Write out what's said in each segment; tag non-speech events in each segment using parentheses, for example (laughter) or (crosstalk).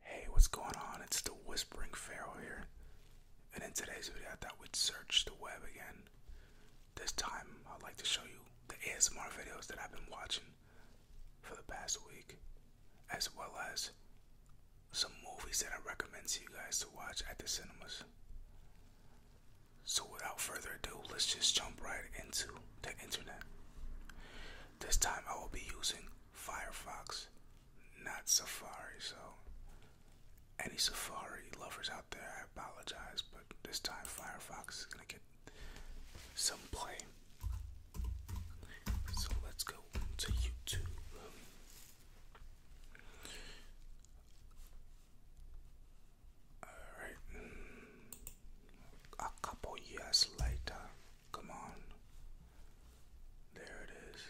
Hey, what's going on? It's the Whispering Pharaoh here. And in today's video, I thought we'd search the web again. This time, I'd like to show you the ASMR videos that I've been watching for the past week, as well as some movies that I recommend to you guys to watch at the cinemas. So, without further ado, let's just jump right into the internet. This time I will be using Firefox, not Safari. So, any Safari lovers out there, I apologize, but this time Firefox is going to get some play. So, let's go to YouTube. Alright. A couple years later. Come on. There it is.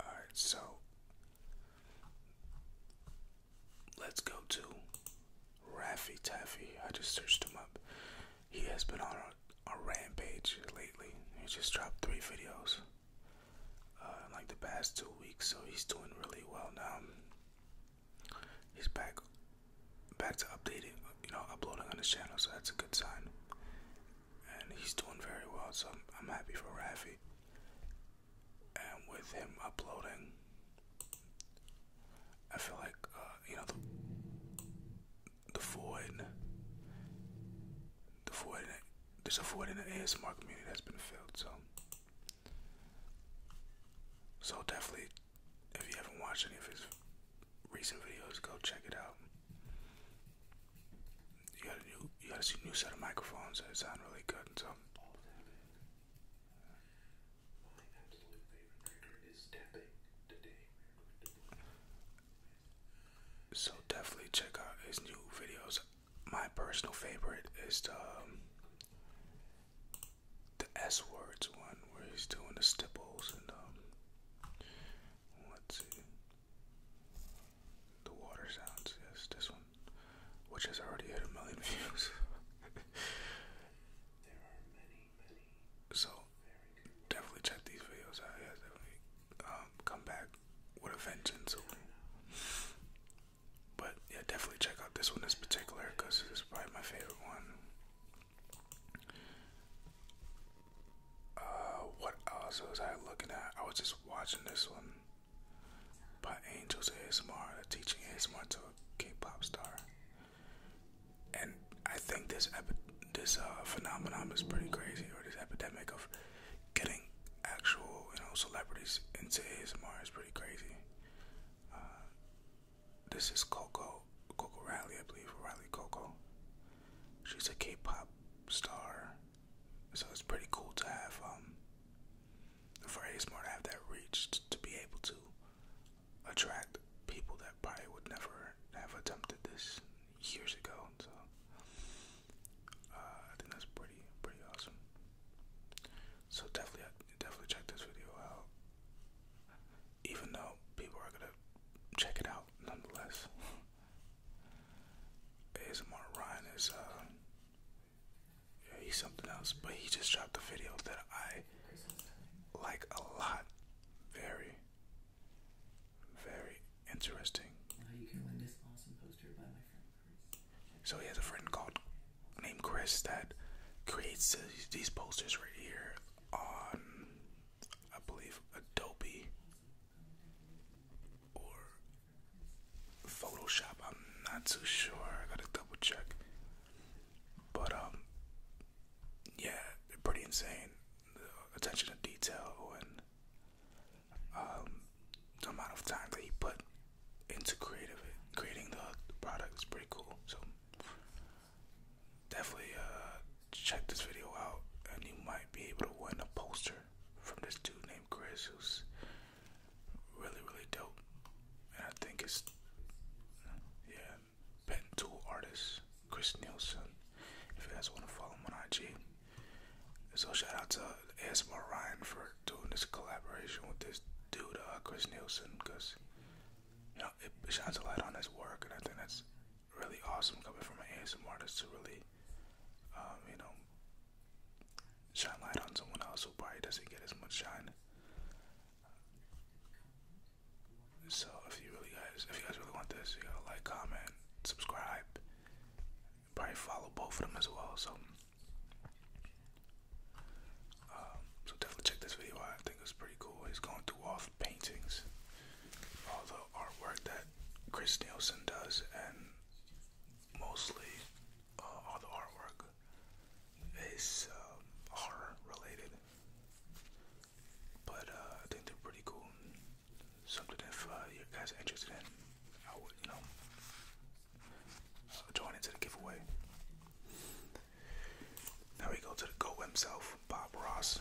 Alright, so let's go to Raffy Taffy. I just searched him up. He has been on a, rampage lately. He just dropped three videos uh, like the past two weeks, so he's doing really well now he's back back to updating you know uploading on his channel so that's a good sign and he's doing very well so i'm, happy for rafi and with him uploading i feel like uh, you know the, the void the void there's a void in the asmr community that's been filled so so definitely, if you haven't watched any of his recent videos, go check it out. You got a new, you got a new set of microphones that sound really good. So. My is tapping. Today So definitely check out his new videos. My personal favorite is the um, the S words one where he's doing the stipples and um let's see the water sounds yes this one which has already hit a million (laughs) views. so definitely check these videos out yeah definitely um come back with a vengeance but yeah, definitely check out this one in particular because it's probably my favorite one. Uh, what else was I looking at? I was just watching this one by Angels ASMR, teaching ASMR to a K-pop star, and I think this epi this uh, phenomenon is pretty crazy, or this epidemic of getting actual you know celebrities into ASMR is pretty crazy. Uh, this is Coco, Coco Riley, I believe, Riley Coco. She's a K-pop star, so it's pretty cool to have um for ASMR to have that reach to be able to attract people that probably would never have attempted this years ago. So uh, I think that's pretty pretty awesome. So definitely definitely check this video out even though people are gonna check it out nonetheless. ASMR Ryan is uh, he's something else, but he just dropped a video that I like a lot. Very, very interesting. So he has a friend called named Chris that creates these posters right here on, I believe, Adobe or Photoshop. I'm not too sure. I gotta double check. But um, yeah, pretty insane. attention to detail and um, the amount of time that he put into creative creating the product is pretty cool. So definitely uh, check this video out, and you might be able to win a poster from this dude named Chris, who's really really dope. And I think it's yeah, pen tool artist Chris Nielsen. If you guys want to follow him on IG, so shout out to ASMR Ryan for doing this collaboration with this dude, uh, Chris Nielsen, because you know, it, shines a light on his work, and I think that's really awesome coming from an ASM artist to really, um, you know, shine light on someone else who probably doesn't get as much shine. So if you really guys, if you guys really want this, you know, like, comment, subscribe, probably follow both of them as well. So um, so definitely check this video I think it's pretty cool. He's going through all the paintings, all the artwork that Chris Nielsen does, and mostly uh, all the artwork is horror um, related. But uh, I think they're pretty cool. Something if uh, you guys are interested in, I would you know join into the giveaway. Now we go to the GO himself, Bob Ross.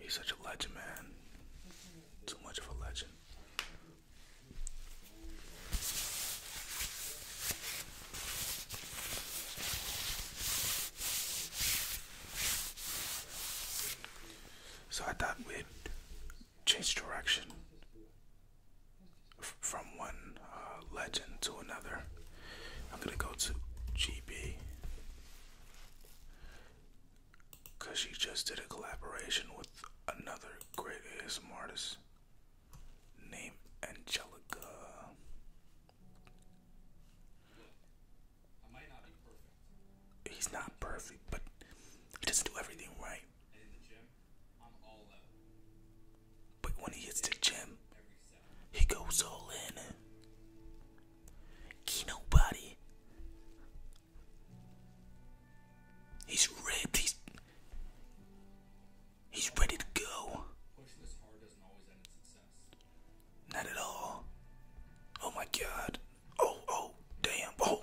He's such a legend, man. Too much of a legend. So I thought we'd change direction from one uh, legend to another. I'm gonna go to GB because she just did a collaboration with another great artist named Angelica. He's not perfect, but he doesn't do everything right in the gym, I'm all out. But when he hits the gym, he goes all in. Ain't nobody. He's ripped. He's he's ready to go. Pushing this hard doesn't always end in success. Not at all. Oh my god. Oh, oh, damn. Oh.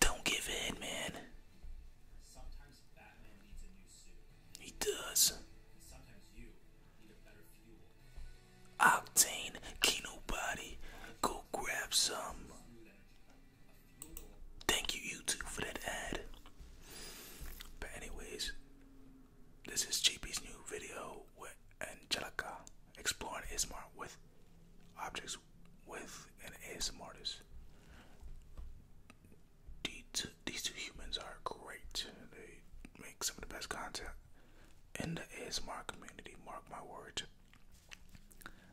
Don't give in, man. He does. And Octane, Kino Body, go grab some. Thank you, YouTube, for that ad. But anyways, this is Chippy's new video with Angelica exploring Ismar with objects with an ASMR artist. These two, these two humans are great. They make some of the best content in the ASMR community. Mark my words.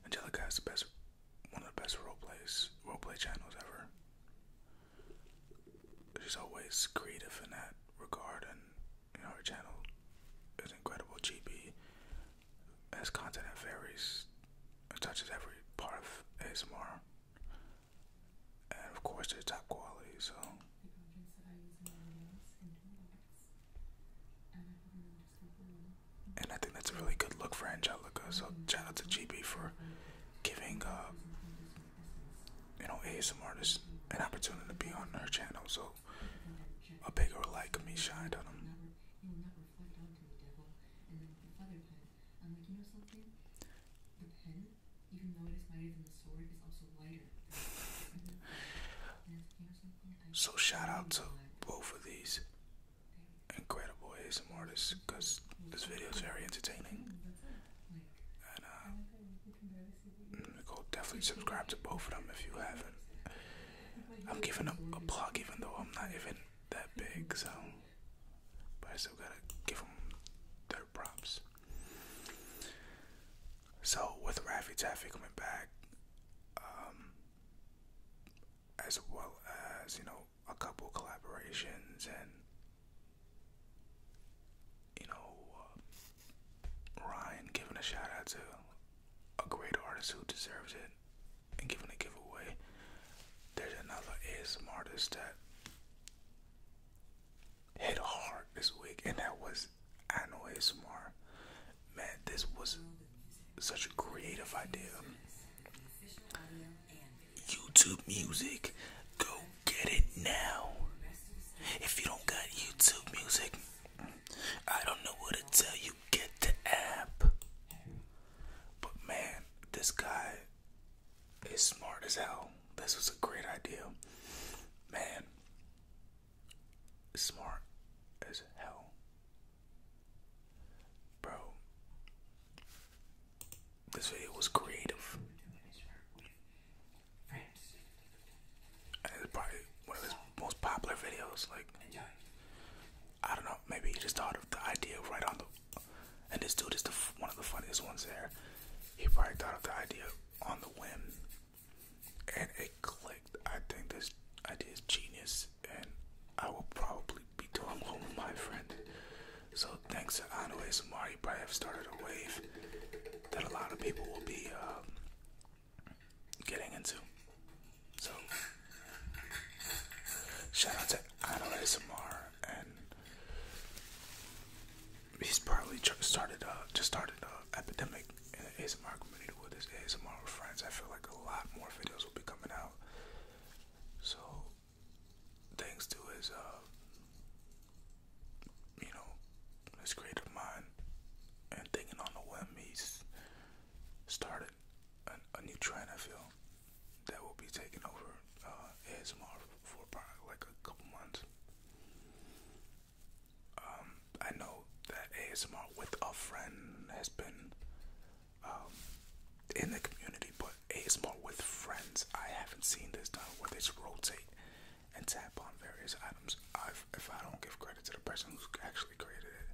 Angelica has the best, one of the best role plays, play channels ever. She's always creative in that regard, and you her channel is incredible. GB as content that varies, it touches every part of ASMR, and of course, it's top quality. So. And I think that's a really good look for Angelica. So mm-hmm. shout out to GB for giving, uh, you know, ASMR artists an opportunity to be on her channel. So a bigger light could be shined on him. (laughs) So shout out to both of these incredible ASM artists because this video is very entertaining. Uh, mm, go definitely subscribe to both of them if you haven't. I'm giving up a plug, even though I'm not even that big, so but I still gotta give them their props. So with Rafi Taffy coming back, um, as well as you know a couple collaborations and you know uh, Ryan giving a shout out to a great artist who deserves it and giving a giveaway. There's another ASMR artist that hit hard this week, and that was Anno ASMR. Man, this was such a creative idea. YouTube music, go get it now. If you don't got YouTube music, I don't know what to tell you get the app. But man, this guy is smart as hell. This was a great idea. Man, smart as hell. Bro, this video was creative. And probably one most popular videos. Like, I don't know. Maybe he just thought of the idea right on the. And this dude is the one of the funniest ones there. He probably thought of the idea on the whim, and it clicked. I think this idea is genius, and I will probably be doing one with my friend. So thanks to Ano ASMR, you probably have started a wave that a lot of people will be. Um, getting into. So, shout out to Anna ASMR, and he's probably started uh, just started an uh, epidemic in the community with his ASMR with friends. I feel like a lot more videos will be coming out. So, thanks to his, uh, you know, his creative mind and thinking on the whim, started a, new trend. I feel that will be taking over uh, ASMR for like a couple months. Um, I know that ASMR with a friend has been um, in the community, but ASMR with friends, I haven't seen this done where they rotate and tap on various items. I if, I don't give credit to the person who's actually created it,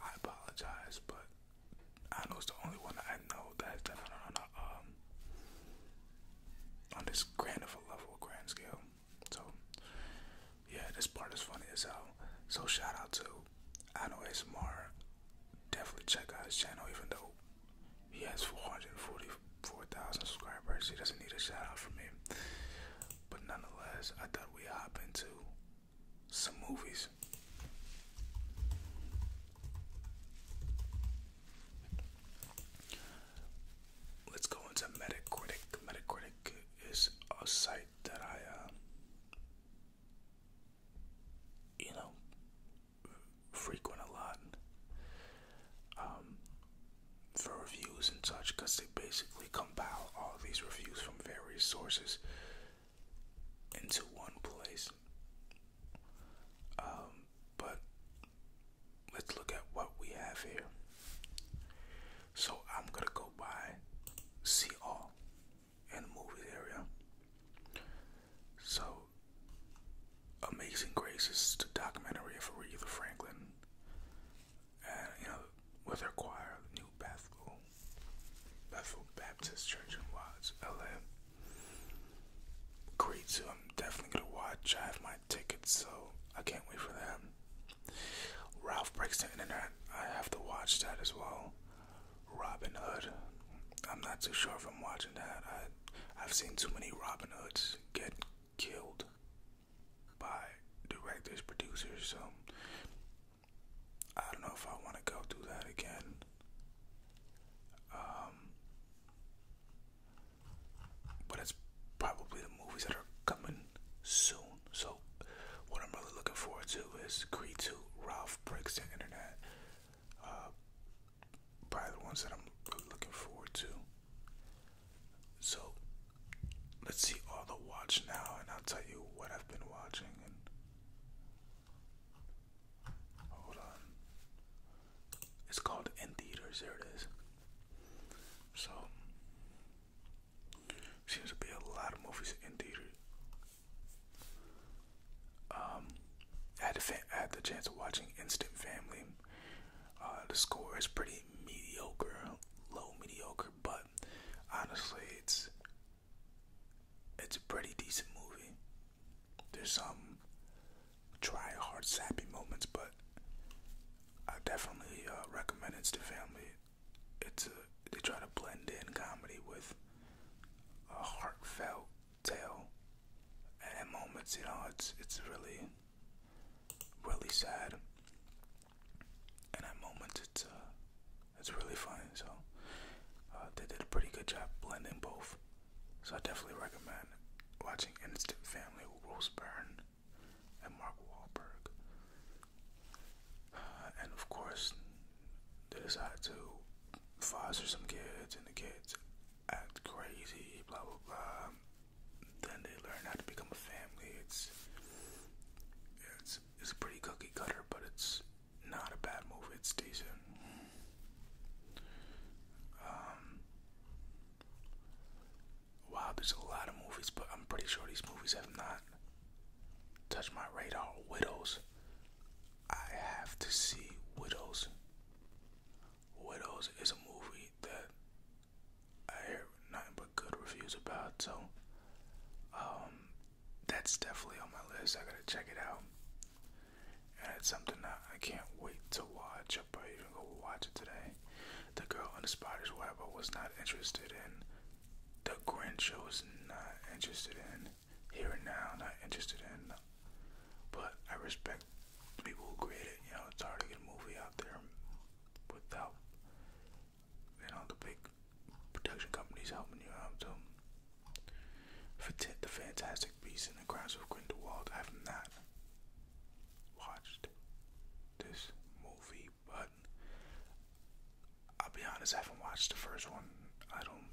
I apologize, but I know it's the only one I know that done it on, um, on this grand of a level, grand scale. So, yeah, this part is funny as hell. So, shout out to I know ASMR. Definitely check out his channel, even though he has 444,000 subscribers. He doesn't need a shout out from me. But nonetheless, I thought we'd hop into some movies. Let's go into Metacritic. Metacritic is a site that I, uh, you know, frequent a lot. Um, for reviews and such because they basically compile all these reviews from various sources into one place. Um, but let's look at what we have here. So I'm gonna go by see all in the movie area. So Amazing Grace is the documentary of Aretha Franklin you know, with her choir New Bethel, Bethel Baptist Church in Watts, LA. Great too. I'm definitely gonna watch. I have my tickets, so I can't wait for that. Ralph Breaks the Internet. I have to watch that as well. Robin Hood. I'm not too sure if I'm watching that. I've seen too many Robin Hoods get killed by directors, producers. So I don't know if I want to go through that again. Um, but it's probably the movies that are coming soon. So what I'm really looking forward to is Creed 2, Ralph Breaks the Internet. Uh, probably the ones that I'm looking forward to. So let's see all the watch now, and I'll tell you what I've been watching. hold on, it's called In Theaters. There it is. So seems to be a lot of movies in theaters. Um, I had, the I had the chance of watching Instant Family. Uh, the score is pretty mediocre, low mediocre but honestly, it's it's a pretty decent movie. There's some try hard sappy moments, but I definitely uh, recommend it to family. It's a they try to blend in comedy with a heartfelt tale, and moments, you know, it's it's really really sad and at moments it's uh, it's really funny. So uh, they did a pretty good job blending both. So I definitely recommend watching Instant Family with Rose Byrne and Mark Wahlberg. Uh, and of course, they decide to foster some kids, and the kids act crazy, blah blah blah then they learn how to become a family. It's it's it's pretty cookie cutter, but it's not a bad movie. It's decent. Um, wow, there's a lot of movies, but I'm pretty sure these movies have not touched my radar. Widows. I have to see Widows. Widows is a movie that I hear nothing but good reviews about. So, um, that's definitely on my list. I gotta check it out. And it's something that I can't wait to watch. i might even go watch it today. The Girl on the Spider's Web I was not interested in. The Grinch I was not interested in. Here and Now, not interested in. But I respect people who create it. You know, it's hard to get a movie out there without you know, the big production companies helping you out So for The Fantastic Beasts in the grounds of Grindelwald. I have not watched this movie, but I'll be honest, I haven't watched the first one. I don't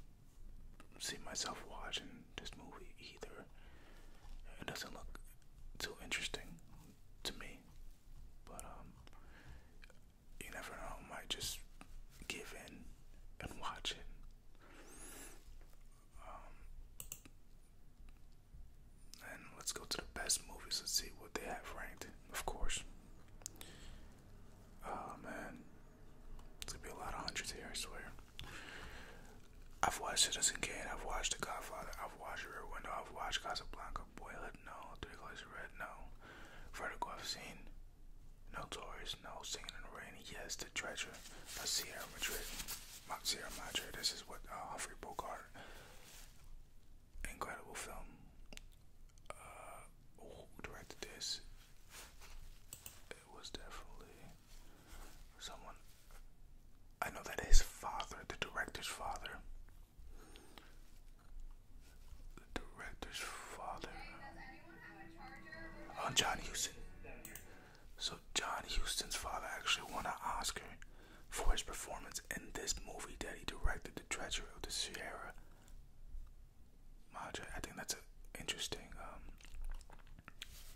see myself watching this movie either. It doesn't look too interesting to me. But um, you never know. I might just give in and watch it. Um, and let's go to the best movies. Let's see what they have ranked. Of course. Oh man, it's gonna be a lot of hundreds here. I swear. I've watched Citizen Kane. I've watched The Godfather. I've watched Rear Window. I've watched Casablanca. Boyhood, no. Three Colors Red, no. Vertigo, I've seen. No no. Singing in the Rain, yes. The Treasure, a Sierra Madrid. Mount Sierra Madre. This is what uh, Humphrey Incredible film. Uh, directed this? It was definitely someone. I know that his father, the director's father, the director's father. Oh, John Houston. So John Houston's father actually won an Oscar for his performance in this movie that he directed, The Treasure of the Sierra Madre. I think that's an interesting um,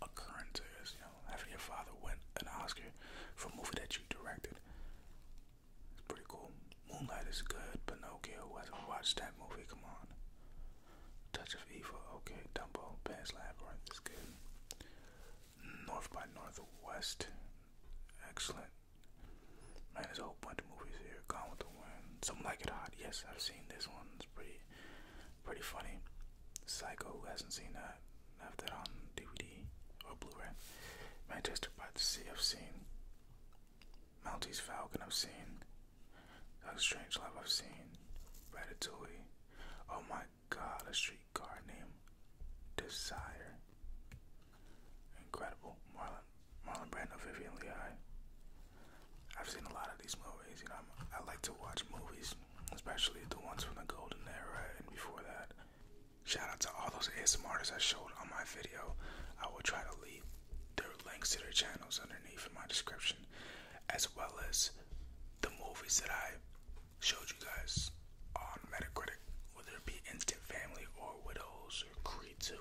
occurrence, I guess, you know, having your father win an Oscar for a movie that you directed. It's pretty cool. Moonlight is good. Pinocchio hasn't watched that movie. Come on. Touch of Evil. Okay. Dumbo. Pan's Labyrinth is good. North by Northwest. Excellent. Man, there's a whole bunch of movies here. Gone with the Wind. Some Like It Hot. Yes, I've seen this one. It's pretty, pretty funny. Psycho. Who hasn't seen that? have that on DVD or Blu-ray. Manchester by the Sea, I've seen. Maltese Falcon, I've seen. Strange Love, I've seen. Ratatouille. Oh my God, a streetcar named Desire. Incredible. Marlon, Marlon Brando, Vivian Leigh. I've seen a lot of these movies. You know, i I like to watch movies, especially the ones from the golden era and before that. Shout out to all those ASMRs I showed on my video. I will try to leave their links to their channels underneath in my description, as well as the movies that I showed you guys on Metacritic, whether it be Instant Family or Widows or Creed 2.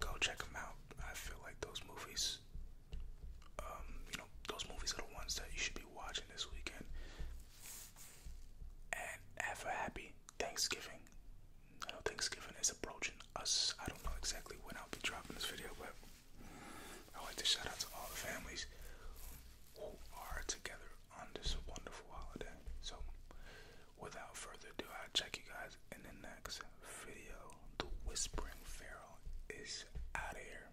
Go check them out. I feel like those movies, um, you know, those movies are the ones that you should be watching this weekend and ever happy Thanksgiving. I know Thanksgiving is approaching us. I don't know exactly when I'll be dropping this video, but I want to shout out to all the families who are together on this wonderful holiday. So, without further ado, I'll check you guys in the next video. The Whispering Pharaoh is out of here.